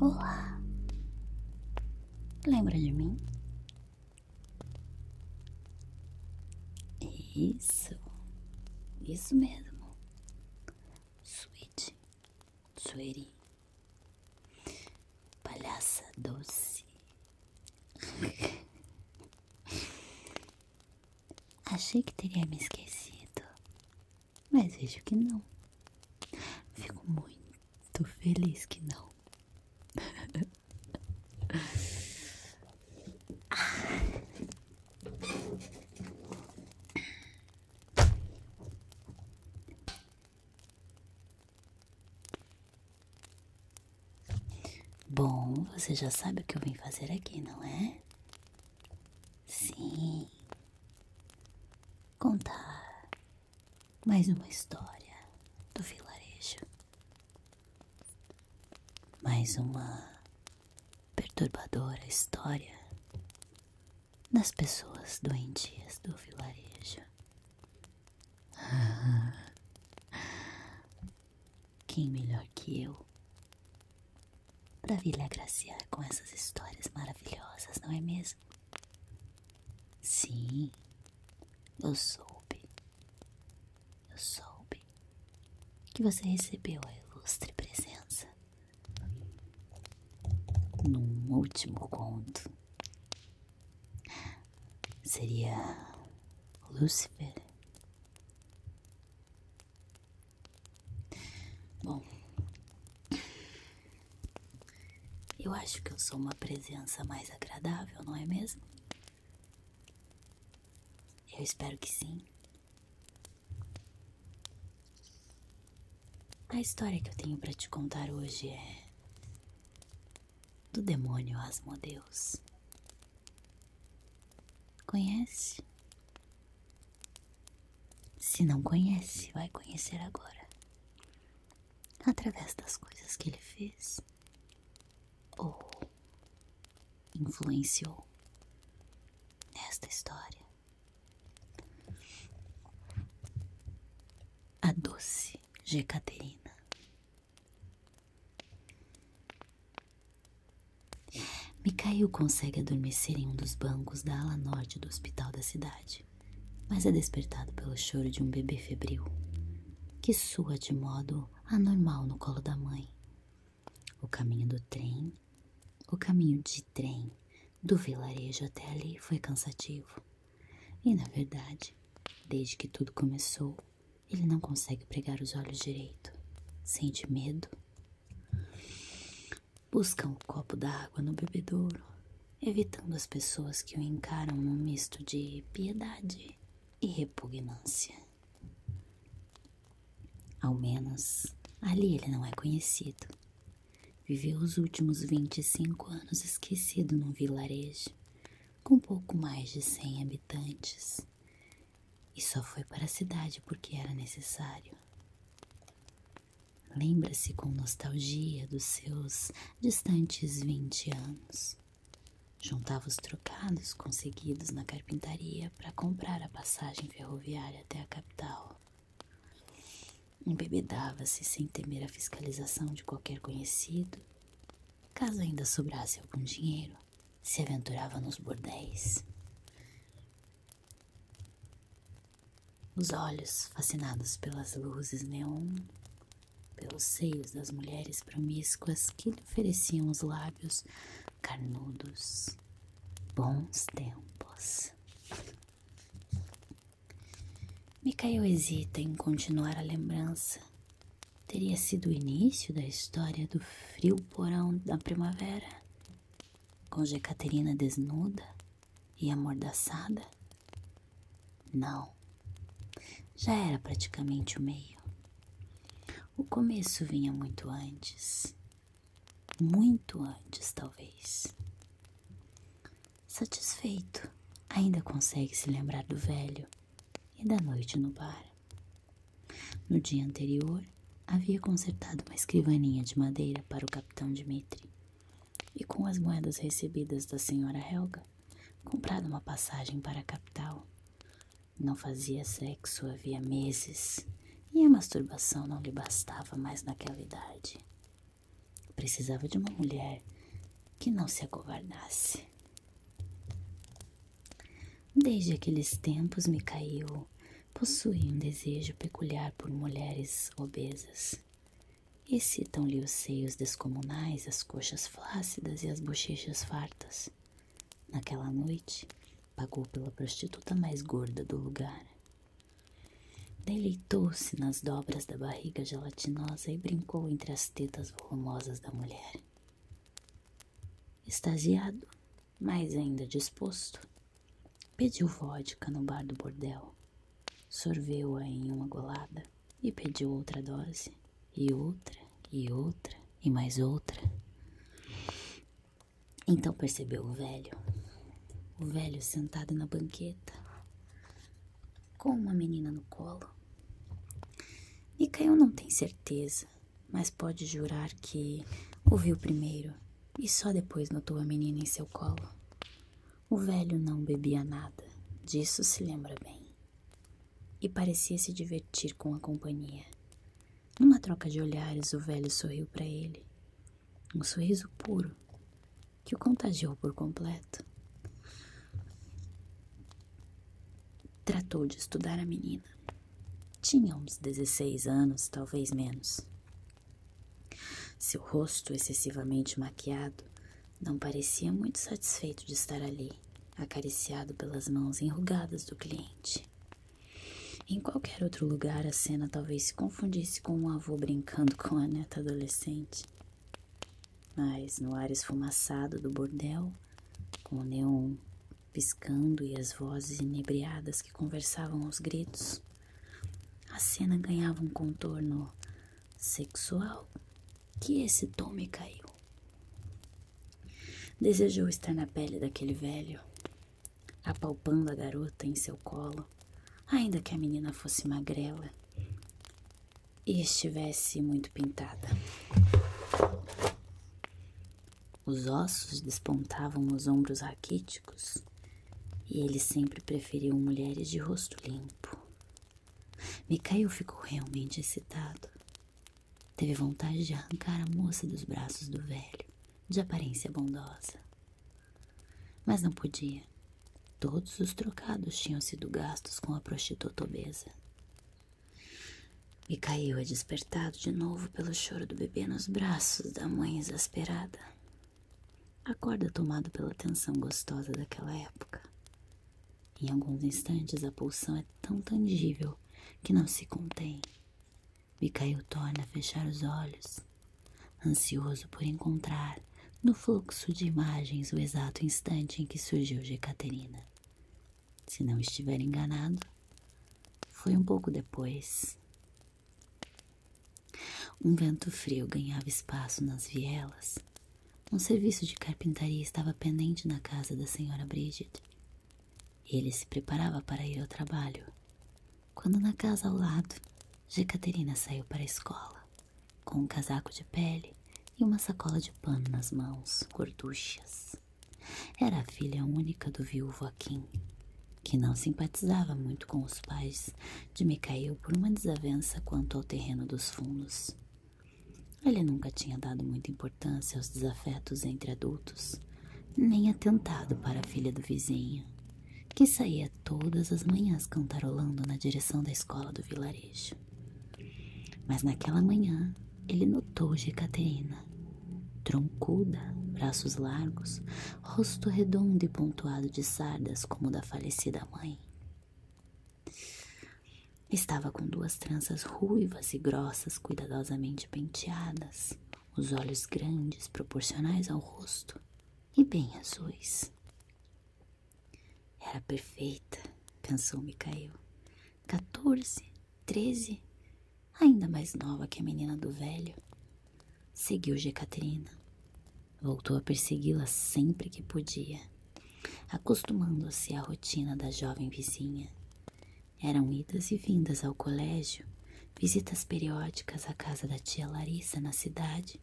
Olá! Lembra de mim? Isso, isso mesmo. Sweet, sueri, palhaça doce. Achei que teria me esquecido, mas vejo que não. Fico muito feliz que não. Bom, você já sabe o que eu vim fazer aqui, não é? Sim. Contar mais uma história do vilarejo. Mais uma perturbadora história das pessoas doentes do vilarejo. Quem melhor que eu para vir lhe agraciar com essas histórias maravilhosas, não é mesmo? Sim, eu soube. Eu soube que você recebeu a ilustre presença num último conto Seria Lúcifer? Bom, eu acho que eu sou uma presença mais agradável, não é mesmo? Eu espero que sim. A história que eu tenho para te contar hoje é do demônio asmo Deus Conhece? Se não conhece, vai conhecer agora. Através das coisas que ele fez ou influenciou nesta história. A doce Jecaterina Mikhail consegue adormecer em um dos bancos da ala norte do hospital da cidade, mas é despertado pelo choro de um bebê febril, que sua de modo anormal no colo da mãe. O caminho do trem, o caminho de trem do vilarejo até ali foi cansativo. E na verdade, desde que tudo começou, ele não consegue pregar os olhos direito. Sente medo. Busca um copo d'água no bebedouro, evitando as pessoas que o encaram num misto de piedade e repugnância. Ao menos ali ele não é conhecido. Viveu os últimos 25 anos esquecido num vilarejo, com pouco mais de 100 habitantes, e só foi para a cidade porque era necessário. Lembra-se com nostalgia dos seus distantes 20 anos. Juntava os trocados conseguidos na carpintaria para comprar a passagem ferroviária até a capital. Embebedava-se sem temer a fiscalização de qualquer conhecido Caso ainda sobrasse algum dinheiro, se aventurava nos bordéis. Os olhos, fascinados pelas luzes neon, pelos seios das mulheres promíscuas que lhe ofereciam os lábios carnudos. Bons tempos. Micael hesita em continuar a lembrança teria sido o início da história do frio porão da primavera, com Jecaterina desnuda e amordaçada? Não, já era praticamente o meio. O começo vinha muito antes, muito antes, talvez. Satisfeito, ainda consegue se lembrar do velho e da noite no bar. No dia anterior, havia consertado uma escrivaninha de madeira para o capitão Dmitri e, com as moedas recebidas da senhora Helga, comprado uma passagem para a capital. Não fazia sexo havia meses e a masturbação não lhe bastava mais naquela idade. Precisava de uma mulher que não se acovardasse. Desde aqueles tempos, Micael possui um desejo peculiar por mulheres obesas. Excitam-lhe os seios descomunais, as coxas flácidas e as bochechas fartas. Naquela noite, pagou pela prostituta mais gorda do lugar. Deleitou-se nas dobras da barriga gelatinosa e brincou entre as tetas volumosas da mulher. Extasiado, mais ainda disposto, pediu vodka no bar do bordel, sorveu-a em uma golada e pediu outra dose, e outra, e outra, e mais outra. Então percebeu o velho, o velho sentado na banqueta, com uma menina no colo. Micael não tem certeza, mas pode jurar que ouviu primeiro e só depois notou a menina em seu colo. O velho não bebia nada, disso se lembra bem. E parecia se divertir com a companhia. Numa troca de olhares, o velho sorriu para ele, um sorriso puro, que o contagiou por completo. Tratou de estudar a menina. Tinha uns 16 anos, talvez menos. Seu rosto excessivamente maquiado não parecia muito satisfeito de estar ali, acariciado pelas mãos enrugadas do cliente. Em qualquer outro lugar, a cena talvez se confundisse com um avô brincando com a neta adolescente. Mas no ar esfumaçado do bordel, com o neon piscando e as vozes inebriadas que conversavam aos gritos, a cena ganhava um contorno sexual que esse me caiu. Desejou estar na pele daquele velho, apalpando a garota em seu colo, ainda que a menina fosse magrela, e estivesse muito pintada. Os ossos despontavam nos ombros raquíticos e ele sempre preferiu mulheres de rosto limpo. Micael ficou realmente excitado. Teve vontade de arrancar a moça dos braços do velho, de aparência bondosa. Mas não podia. Todos os trocados tinham sido gastos com a prostituta obesa. E é despertado de novo pelo choro do bebê nos braços da mãe exasperada. Acorda tomado pela tensão gostosa daquela época. Em alguns instantes a pulsão é tão tangível que não se contém. Micael torna a fechar os olhos, ansioso por encontrar no fluxo de imagens o exato instante em que surgiu Jecaterina. Se não estiver enganado, foi um pouco depois. Um vento frio ganhava espaço nas vielas. Um serviço de carpintaria estava pendente na casa da senhora Bridget. Ele se preparava para ir ao trabalho. Quando na casa ao lado, Jecaterina saiu para a escola com um casaco de pele e uma sacola de pano nas mãos, gorduchas. Era a filha única do viúvo Aquim, que não simpatizava muito com os pais de Micael por uma desavença quanto ao terreno dos fundos. Ele nunca tinha dado muita importância aos desafetos entre adultos, nem atentado para a filha do vizinho, que saía todas as manhãs cantarolando na direção da escola do vilarejo. Mas naquela manhã ele notou Jecaterina, troncuda, braços largos, rosto redondo e pontuado de sardas como o da falecida mãe. Estava com duas tranças ruivas e grossas cuidadosamente penteadas, os olhos grandes proporcionais ao rosto e bem azuis. Era perfeita, pensou Micael. 14, 13, ainda mais nova que a menina do velho. Seguiu Jecaterina. Voltou a persegui-la sempre que podia, acostumando-se à rotina da jovem vizinha. Eram idas e vindas ao colégio, visitas periódicas à casa da tia Larissa na cidade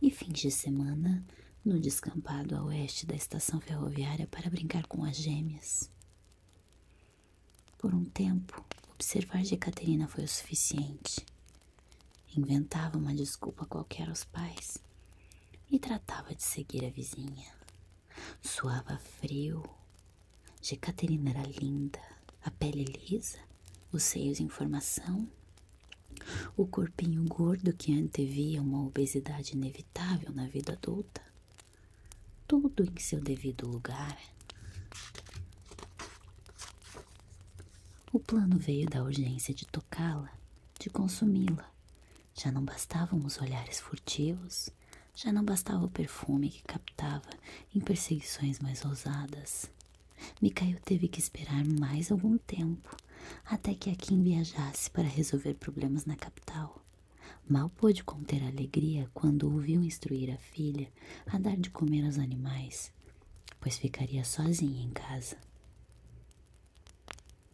e fins de semana no descampado a oeste da estação ferroviária para brincar com as gêmeas. Por um tempo, observar de Caterina foi o suficiente. Inventava uma desculpa qualquer aos pais e tratava de seguir a vizinha. Suava frio. Jecaterina era linda, a pele lisa, os seios em formação o corpinho gordo que antevia uma obesidade inevitável na vida adulta. Tudo em seu devido lugar. O plano veio da urgência de tocá-la, de consumi-la. Já não bastavam os olhares furtivos, já não bastava o perfume que captava em perseguições mais ousadas, Mikhail teve que esperar mais algum tempo até que Akin viajasse para resolver problemas na capital. Mal pôde conter a alegria quando ouviu instruir a filha a dar de comer aos animais, pois ficaria sozinha em casa.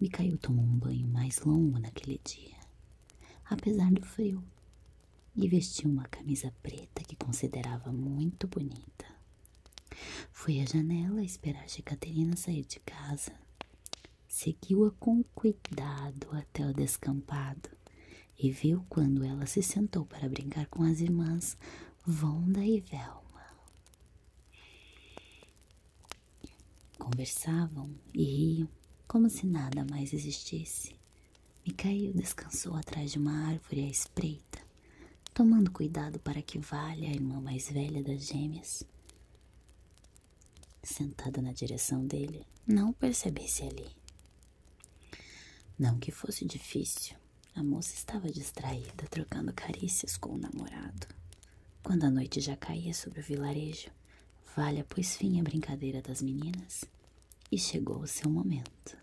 Mikhail tomou um banho mais longo naquele dia, apesar do frio, e vestiu uma camisa preta que considerava muito bonita. Foi à janela esperar que Caterina sair de casa. Seguiu-a com cuidado até o descampado e viu quando ela se sentou para brincar com as irmãs Vonda e Velma. Conversavam e riam como se nada mais existisse. Micael descansou atrás de uma árvore à espreita tomando cuidado para que valha a irmã mais velha das gêmeas. Sentada na direção dele, não percebesse ali. Não que fosse difícil, a moça estava distraída, trocando carícias com o namorado. Quando a noite já caía sobre o vilarejo, Valha pôs fim à brincadeira das meninas e chegou o seu momento.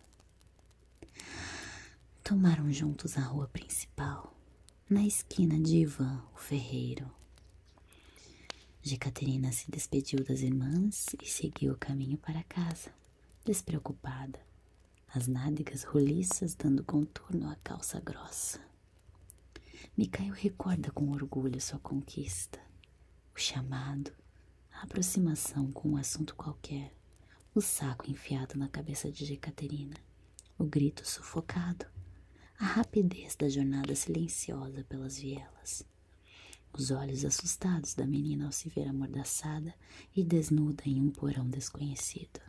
Tomaram juntos a rua principal, na esquina de Ivan, o ferreiro. Jecaterina se despediu das irmãs e seguiu o caminho para casa, despreocupada, as nádegas roliças dando contorno à calça grossa. Micael recorda com orgulho sua conquista, o chamado, a aproximação com um assunto qualquer, o saco enfiado na cabeça de Jecaterina, o grito sufocado, a rapidez da jornada silenciosa pelas vielas, os olhos assustados da menina ao se ver amordaçada e desnuda em um porão desconhecido.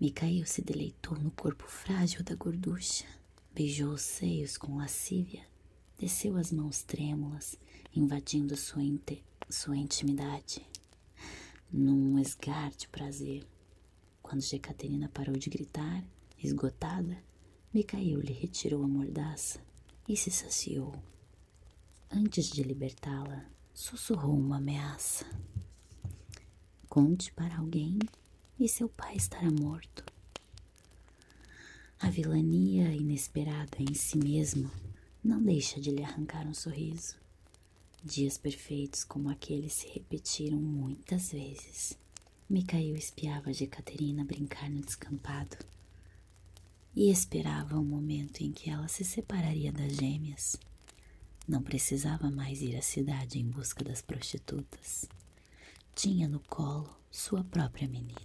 Micael se deleitou no corpo frágil da gorducha, beijou os seios com lascívia, desceu as mãos trêmulas, invadindo sua inte sua intimidade num esgar de prazer. Quando Jecaterina parou de gritar, esgotada, Micael lhe retirou a mordaça e se saciou. Antes de libertá-la, sussurrou uma ameaça. Conte para alguém e seu pai estará morto. A vilania inesperada em si mesma não deixa de lhe arrancar um sorriso. Dias perfeitos como aqueles se repetiram muitas vezes. Micael espiava de Caterina brincar no descampado e esperava o momento em que ela se separaria das gêmeas. Não precisava mais ir à cidade em busca das prostitutas. Tinha no colo sua própria menina.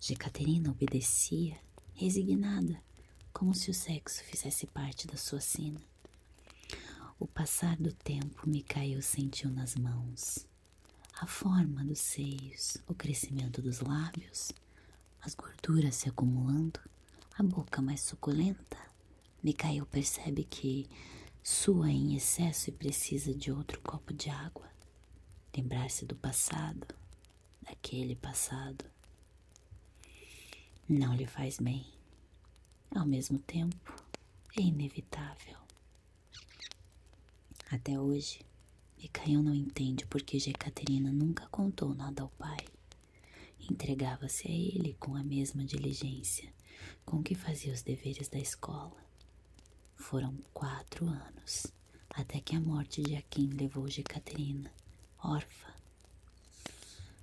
Jecaterina obedecia, resignada, como se o sexo fizesse parte da sua cena. O passar do tempo Micael sentiu nas mãos a forma dos seios, o crescimento dos lábios, as gorduras se acumulando, a boca mais suculenta. Micael percebe que sua em excesso e precisa de outro copo de água lembrar-se do passado, daquele passado, não lhe faz bem. Ao mesmo tempo, é inevitável. Até hoje, Mikhail não entende por que Jecaterina nunca contou nada ao pai. Entregava-se a ele com a mesma diligência com que fazia os deveres da escola. Foram quatro anos até que a morte de Akin levou Jecaterina, órfã,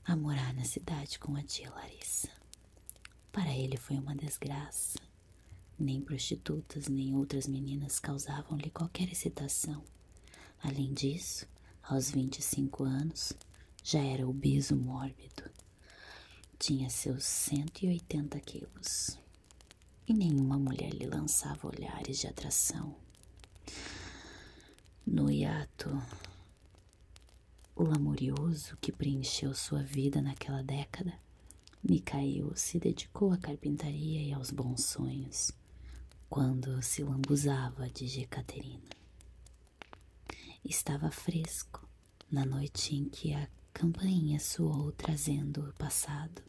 a morar na cidade com a tia Larissa. Para ele foi uma desgraça. Nem prostitutas nem outras meninas causavam-lhe qualquer excitação. Além disso, aos 25 anos, já era obeso mórbido. Tinha seus 180 quilos e nenhuma mulher lhe lançava olhares de atração. No hiato, o lamurioso que preencheu sua vida naquela década, Micael se dedicou à carpintaria e aos bons sonhos, quando se lambuzava de Jecaterina. Estava fresco na noite em que a campainha soou trazendo o passado.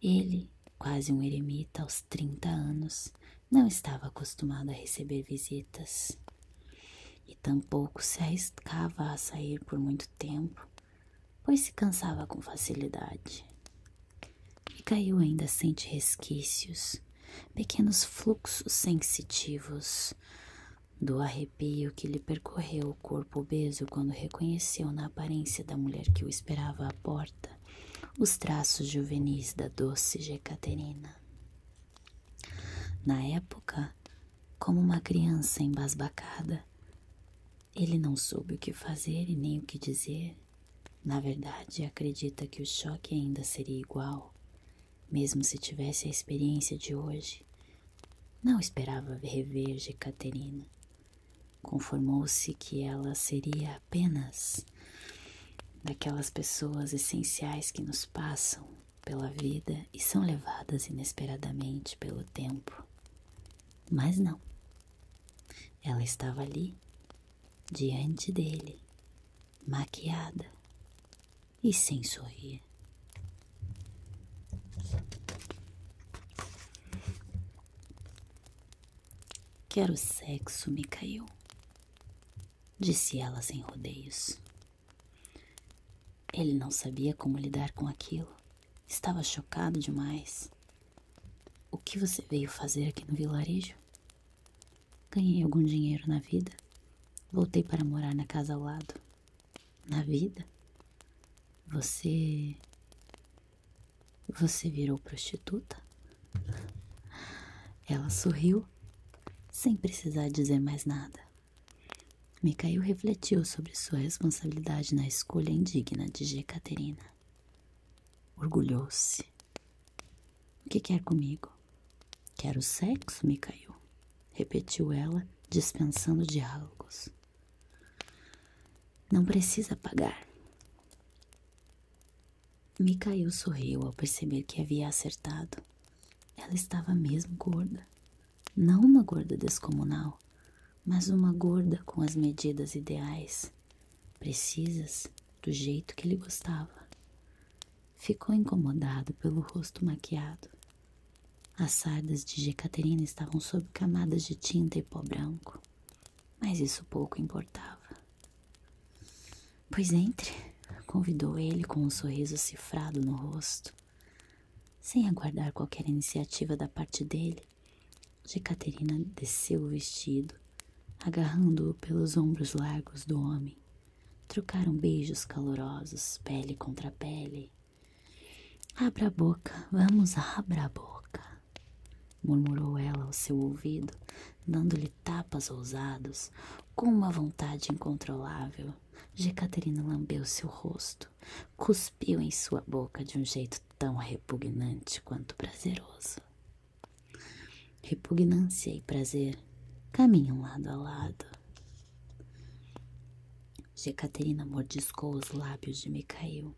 Ele, quase um eremita aos 30 anos, não estava acostumado a receber visitas e tampouco se arriscava a sair por muito tempo, pois se cansava com facilidade. E caiu ainda sente resquícios, pequenos fluxos sensitivos, do arrepio que lhe percorreu o corpo obeso quando reconheceu na aparência da mulher que o esperava à porta os traços juvenis da doce Jecaterina. Na época, como uma criança embasbacada, ele não soube o que fazer e nem o que dizer. Na verdade, acredita que o choque ainda seria igual, mesmo se tivesse a experiência de hoje. Não esperava rever Jecaterina. Conformou-se que ela seria apenas daquelas pessoas essenciais que nos passam pela vida e são levadas inesperadamente pelo tempo. Mas não. Ela estava ali, diante dele, maquiada e sem sorrir. Quero sexo, Micael, disse ela sem rodeios. Ele não sabia como lidar com aquilo. Estava chocado demais. O que você veio fazer aqui no vilarejo? Ganhei algum dinheiro na vida. Voltei para morar na casa ao lado na vida, você. Você virou prostituta? Ela sorriu, sem precisar dizer mais nada. Mikhail refletiu sobre sua responsabilidade na escolha indigna de Jekaterina. Orgulhou-se. O que quer comigo? Quero sexo, Mikhail, repetiu ela, dispensando diálogos. Não precisa pagar. Micael sorriu ao perceber que havia acertado. Ela estava mesmo gorda. Não uma gorda descomunal, mas uma gorda com as medidas ideais, precisas, do jeito que ele gostava. Ficou incomodado pelo rosto maquiado as sardas de Jecaterina estavam sob camadas de tinta e pó branco, mas isso pouco importava. Pois entre, convidou ele com um sorriso cifrado no rosto. Sem aguardar qualquer iniciativa da parte dele, Jecaterina desceu o vestido, agarrando-o pelos ombros largos do homem. Trocaram beijos calorosos, pele contra pele, Abra a boca, vamos, abra a boca, murmurou ela ao seu ouvido, dando-lhe tapas ousados, com uma vontade incontrolável. Jecaterina lambeu seu rosto, cuspiu em sua boca de um jeito tão repugnante quanto prazeroso. Repugnância e prazer caminham lado a lado. Jecaterina mordiscou os lábios de Micael,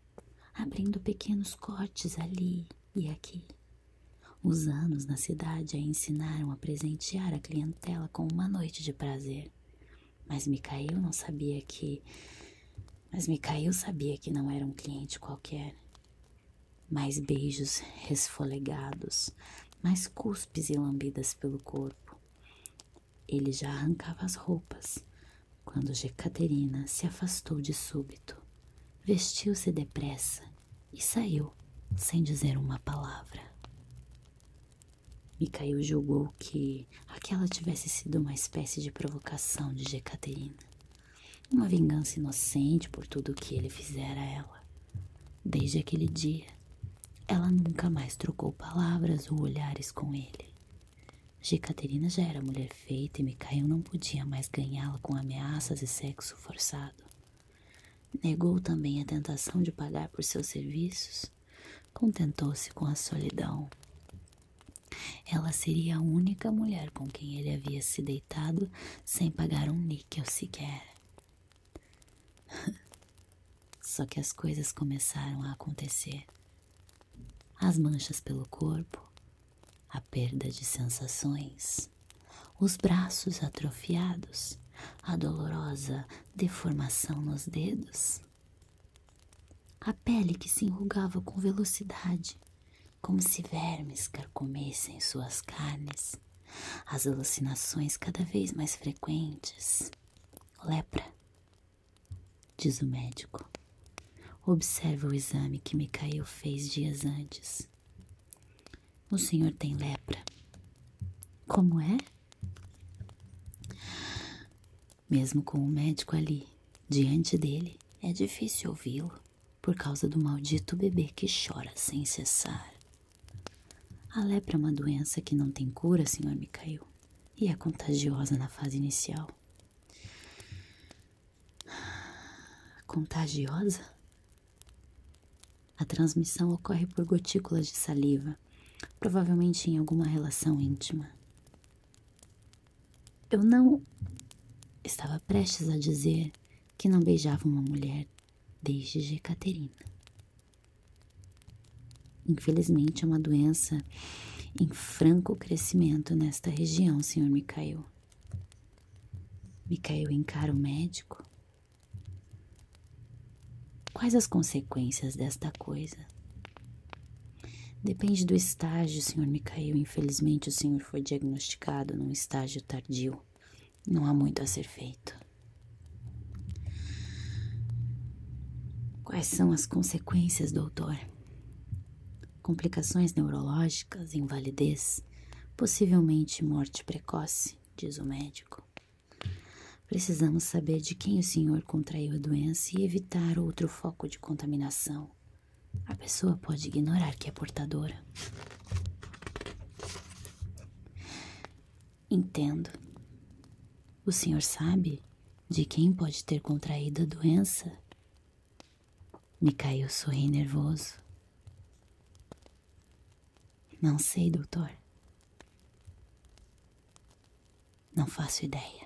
abrindo pequenos cortes ali e aqui. Os anos na cidade a ensinaram a presentear a clientela com uma noite de prazer. Mas Micael não sabia que. Mas Micael sabia que não era um cliente qualquer. Mais beijos resfolegados, mais cuspes e lambidas pelo corpo. Ele já arrancava as roupas quando Jecaterina se afastou de súbito, vestiu-se depressa e saiu sem dizer uma palavra. Micael julgou que aquela tivesse sido uma espécie de provocação de Jecaterina, uma vingança inocente por tudo o que ele fizera a ela. Desde aquele dia, ela nunca mais trocou palavras ou olhares com ele. Jecaterina já era mulher feita e Micael não podia mais ganhá-la com ameaças e sexo forçado. Negou também a tentação de pagar por seus serviços. Contentou-se com a solidão. Ela seria a única mulher com quem ele havia se deitado sem pagar um níquel sequer. Só que as coisas começaram a acontecer. As manchas pelo corpo, a perda de sensações, os braços atrofiados, a dolorosa deformação nos dedos, a pele que se enrugava com velocidade, como se vermes carcomessem suas carnes, as alucinações cada vez mais frequentes, Lepra, diz o médico. Observe o exame que Micael fez dias antes. O senhor tem lepra. Como é? Mesmo com o médico ali, diante dele, é difícil ouvi-lo por causa do maldito bebê que chora sem cessar. A lepra é uma doença que não tem cura, senhor Micael, e é contagiosa na fase inicial. Contagiosa? A transmissão ocorre por gotículas de saliva, provavelmente em alguma relação íntima. Eu não estava prestes a dizer que não beijava uma mulher desde Jecaterina. Infelizmente, é uma doença em franco crescimento nesta região, senhor Micael. Micael encara o médico. Quais as consequências desta coisa? Depende do estágio, senhor Micael. Infelizmente, o senhor foi diagnosticado num estágio tardio não há muito a ser feito. Quais são as consequências, doutor? Complicações neurológicas, invalidez, possivelmente morte precoce, diz o médico. Precisamos saber de quem o senhor contraiu a doença e evitar outro foco de contaminação. A pessoa pode ignorar que é portadora. Entendo. O senhor sabe de quem pode ter contraído a doença? Micael sorri nervoso. Não sei, doutor. Não faço ideia.